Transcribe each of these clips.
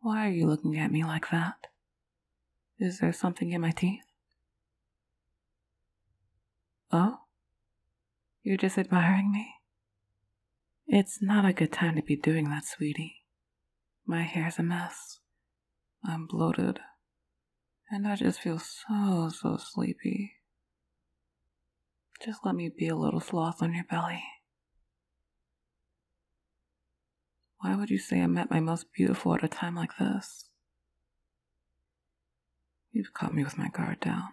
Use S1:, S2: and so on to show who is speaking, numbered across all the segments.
S1: Why are you looking at me like that? Is there something in my teeth? Oh? You're just admiring me? It's not a good time to be doing that, sweetie. My hair's a mess. I'm bloated. And I just feel so, so sleepy. Just let me be a little sloth on your belly. Why would you say i met my most beautiful at a time like this? You've caught me with my guard down.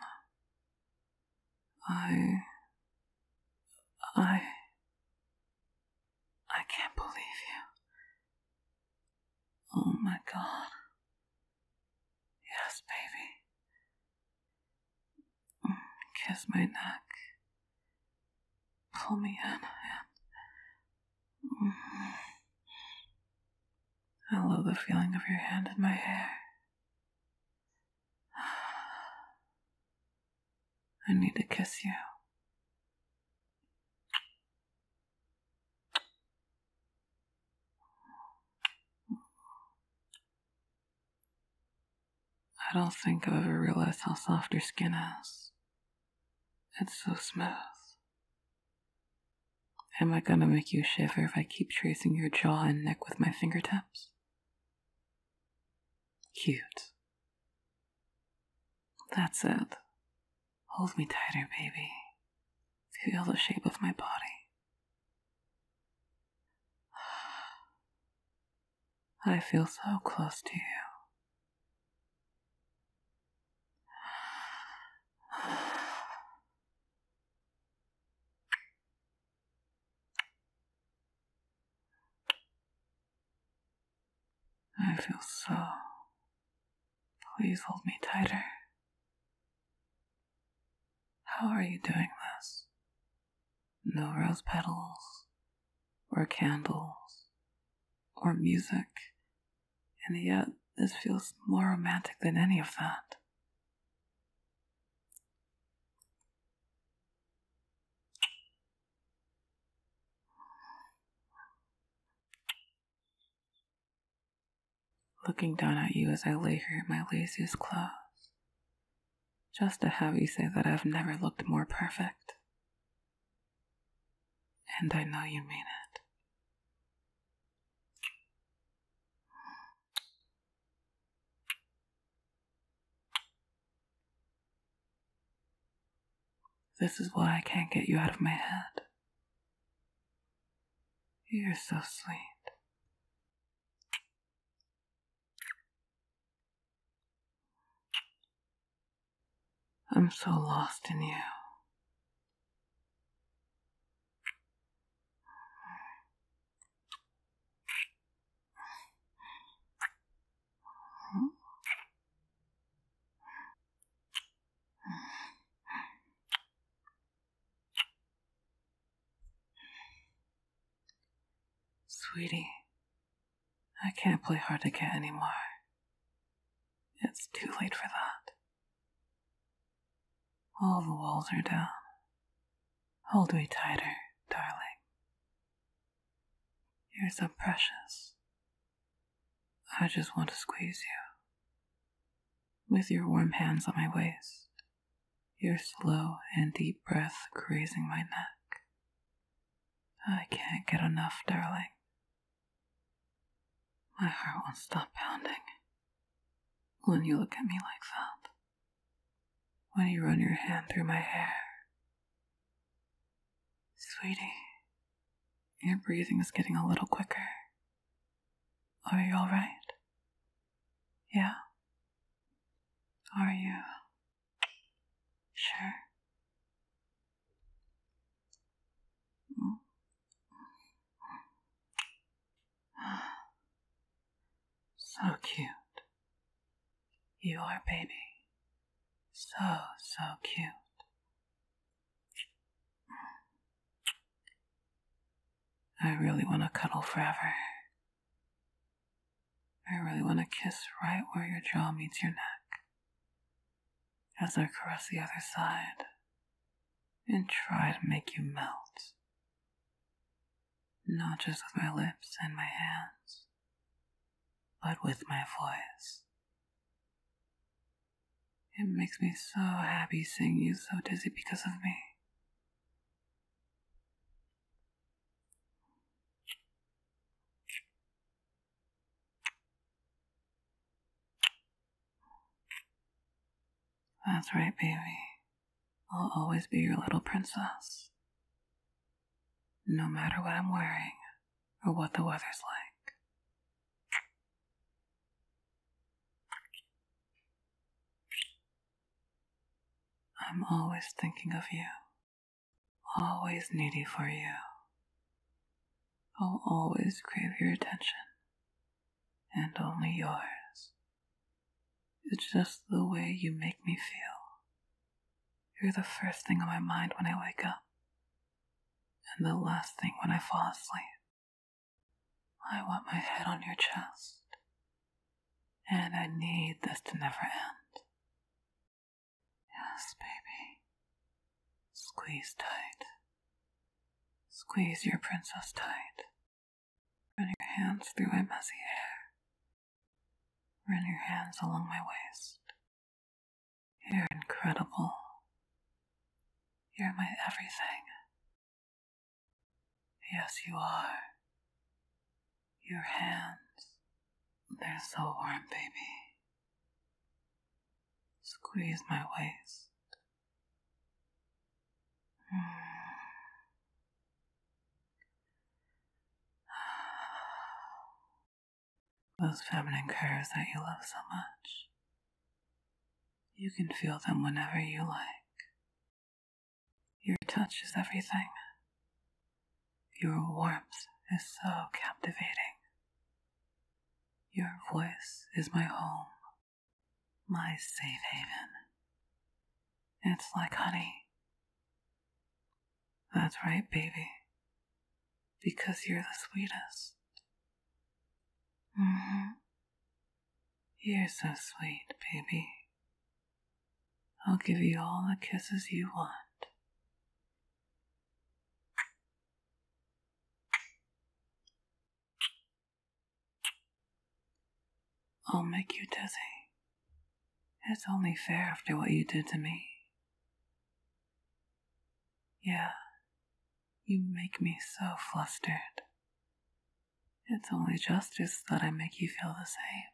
S1: I. I. I can't believe you. Oh my god. Yes, baby. Kiss my neck. Pull me in I love the feeling of your hand in my hair. I need to kiss you. I don't think I've ever realized how soft your skin is. It's so smooth. Am I gonna make you shiver if I keep tracing your jaw and neck with my fingertips? Cute. That's it. Hold me tighter, baby. Feel the shape of my body. I feel so close to you. I feel so. Please hold me tighter. How are you doing this? No rose petals, or candles, or music, and yet this feels more romantic than any of that looking down at you as I lay here in my laziest clothes, just to have you say that I've never looked more perfect. And I know you mean it. This is why I can't get you out of my head. You're so sweet. I'm so lost in you. Sweetie, I can't play hard to get anymore. It's too late for that. All the walls are down. Hold me tighter, darling. You're so precious. I just want to squeeze you with your warm hands on my waist, your slow and deep breath grazing my neck. I can't get enough, darling. My heart won't stop pounding when you look at me like that, when you run your hand through my hair. Sweetie, your breathing is getting a little quicker. Are you alright? Yeah? Are you sure? So cute. You are, baby. So, so cute. I really want to cuddle forever. I really want to kiss right where your jaw meets your neck as I caress the other side and try to make you melt. Not just with my lips and my hands, but with my voice. It makes me so happy seeing you so dizzy because of me. That's right, baby. I'll always be your little princess. No matter what I'm wearing or what the weather's like. I'm always thinking of you, always needy for you. I'll always crave your attention, and only yours. It's just the way you make me feel. You're the first thing on my mind when I wake up, and the last thing when I fall asleep, I want my head on your chest. And I need this to never end. Yes, baby. Squeeze tight. Squeeze your princess tight. Run your hands through my messy hair. Run your hands along my waist. You're incredible. You're my everything. Yes, you are. Your hands, they're so warm, baby. Squeeze my waist. Those feminine curves that you love so much. You can feel them whenever you like. Your touch is everything. Your warmth is so captivating. Your voice is my home, my safe haven. It's like honey. That's right, baby because you're the sweetest. Mm-hmm. You're so sweet, baby. I'll give you all the kisses you want. I'll make you dizzy. It's only fair after what you did to me. Yeah, you make me so flustered. It's only justice that I make you feel the same.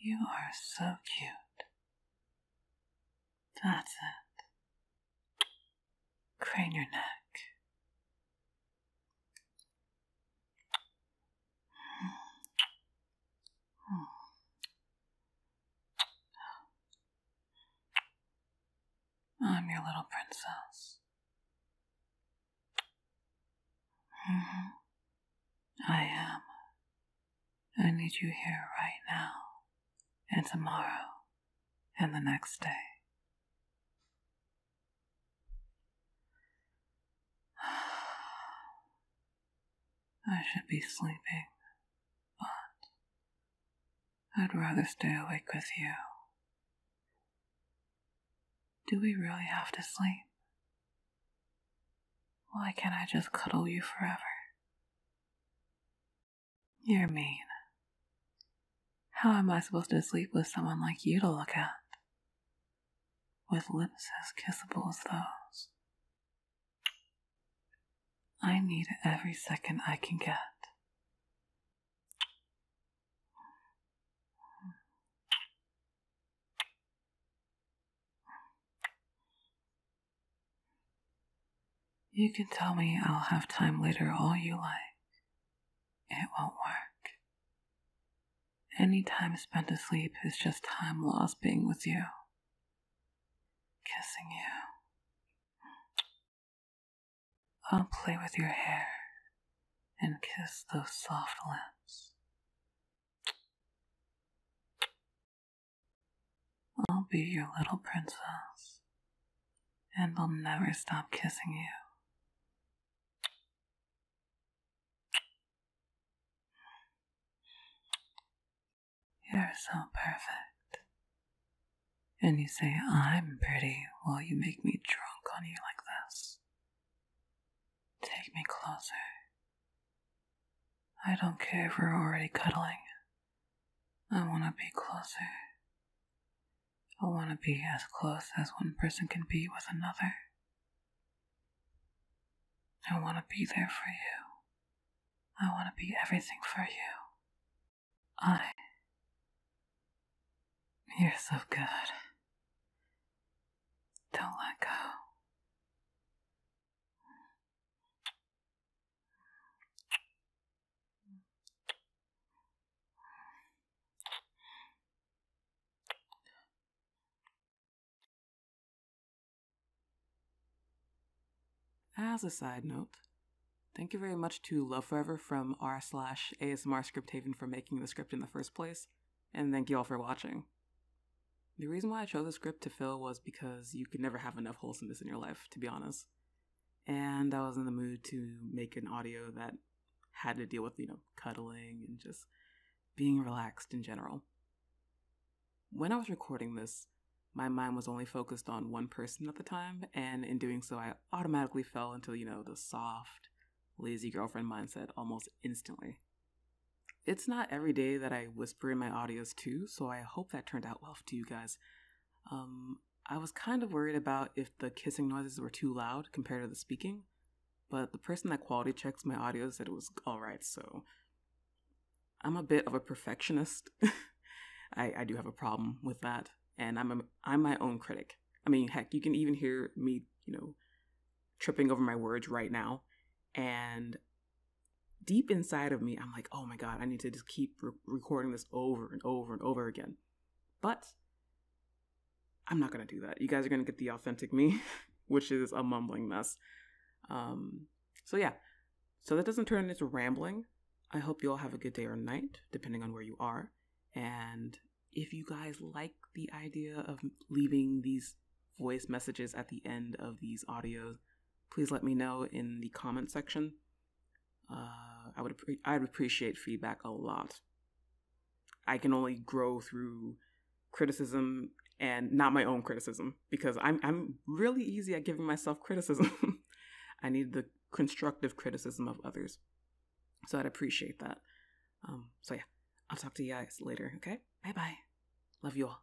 S1: You are so cute. That's it crane your neck. Mm. I'm your little princess. Mm-hmm. I am. I need you here right now and tomorrow and the next day. I should be sleeping, but I'd rather stay awake with you. Do we really have to sleep? Why can't I just cuddle you forever? You're mean. How am I supposed to sleep with someone like you to look at? With lips as kissable as those. I need every second I can get. You can tell me I'll have time later all you like. It won't work. Any time spent asleep is just time lost being with you, kissing you. I'll play with your hair and kiss those soft lips. I'll be your little princess, and I'll never stop kissing you. You're so perfect. And you say, I'm pretty, while you make me drunk on you like this. Take me closer. I don't care if we're already cuddling. I want to be closer. I want to be as close as one person can be with another. I want to be there for you. I want to be everything for you. I. You're so good. Don't let go.
S2: As a side note, thank you very much to Love Forever from r slash ASMR Script Haven for making the script in the first place, and thank you all for watching. The reason why I chose the script to fill was because you can never have enough wholesomeness in your life, to be honest. And I was in the mood to make an audio that had to deal with, you know, cuddling and just being relaxed in general. When I was recording this, my mind was only focused on one person at the time, and in doing so, I automatically fell into, you know, the soft, lazy girlfriend mindset almost instantly it's not every day that I whisper in my audios too, so I hope that turned out well to you guys. Um, I was kind of worried about if the kissing noises were too loud compared to the speaking, but the person that quality checks my audio said it was alright, so I'm a bit of a perfectionist. I, I do have a problem with that, and I'm a, I'm my own critic. I mean, heck, you can even hear me, you know, tripping over my words right now, and deep inside of me, I'm like, oh my God, I need to just keep recording this over and over and over again. But I'm not going to do that. You guys are going to get the authentic me, which is a mumbling mess. Um, so, yeah, so that doesn't turn into rambling. I hope you all have a good day or night, depending on where you are. And if you guys like the idea of leaving these voice messages at the end of these audios, please let me know in the comment section. Uh, I would I'd appreciate feedback a lot. I can only grow through criticism and not my own criticism because I'm I'm really easy at giving myself criticism. I need the constructive criticism of others, so I'd appreciate that. Um, so yeah, I'll talk to you guys later. Okay, bye bye. Love you all.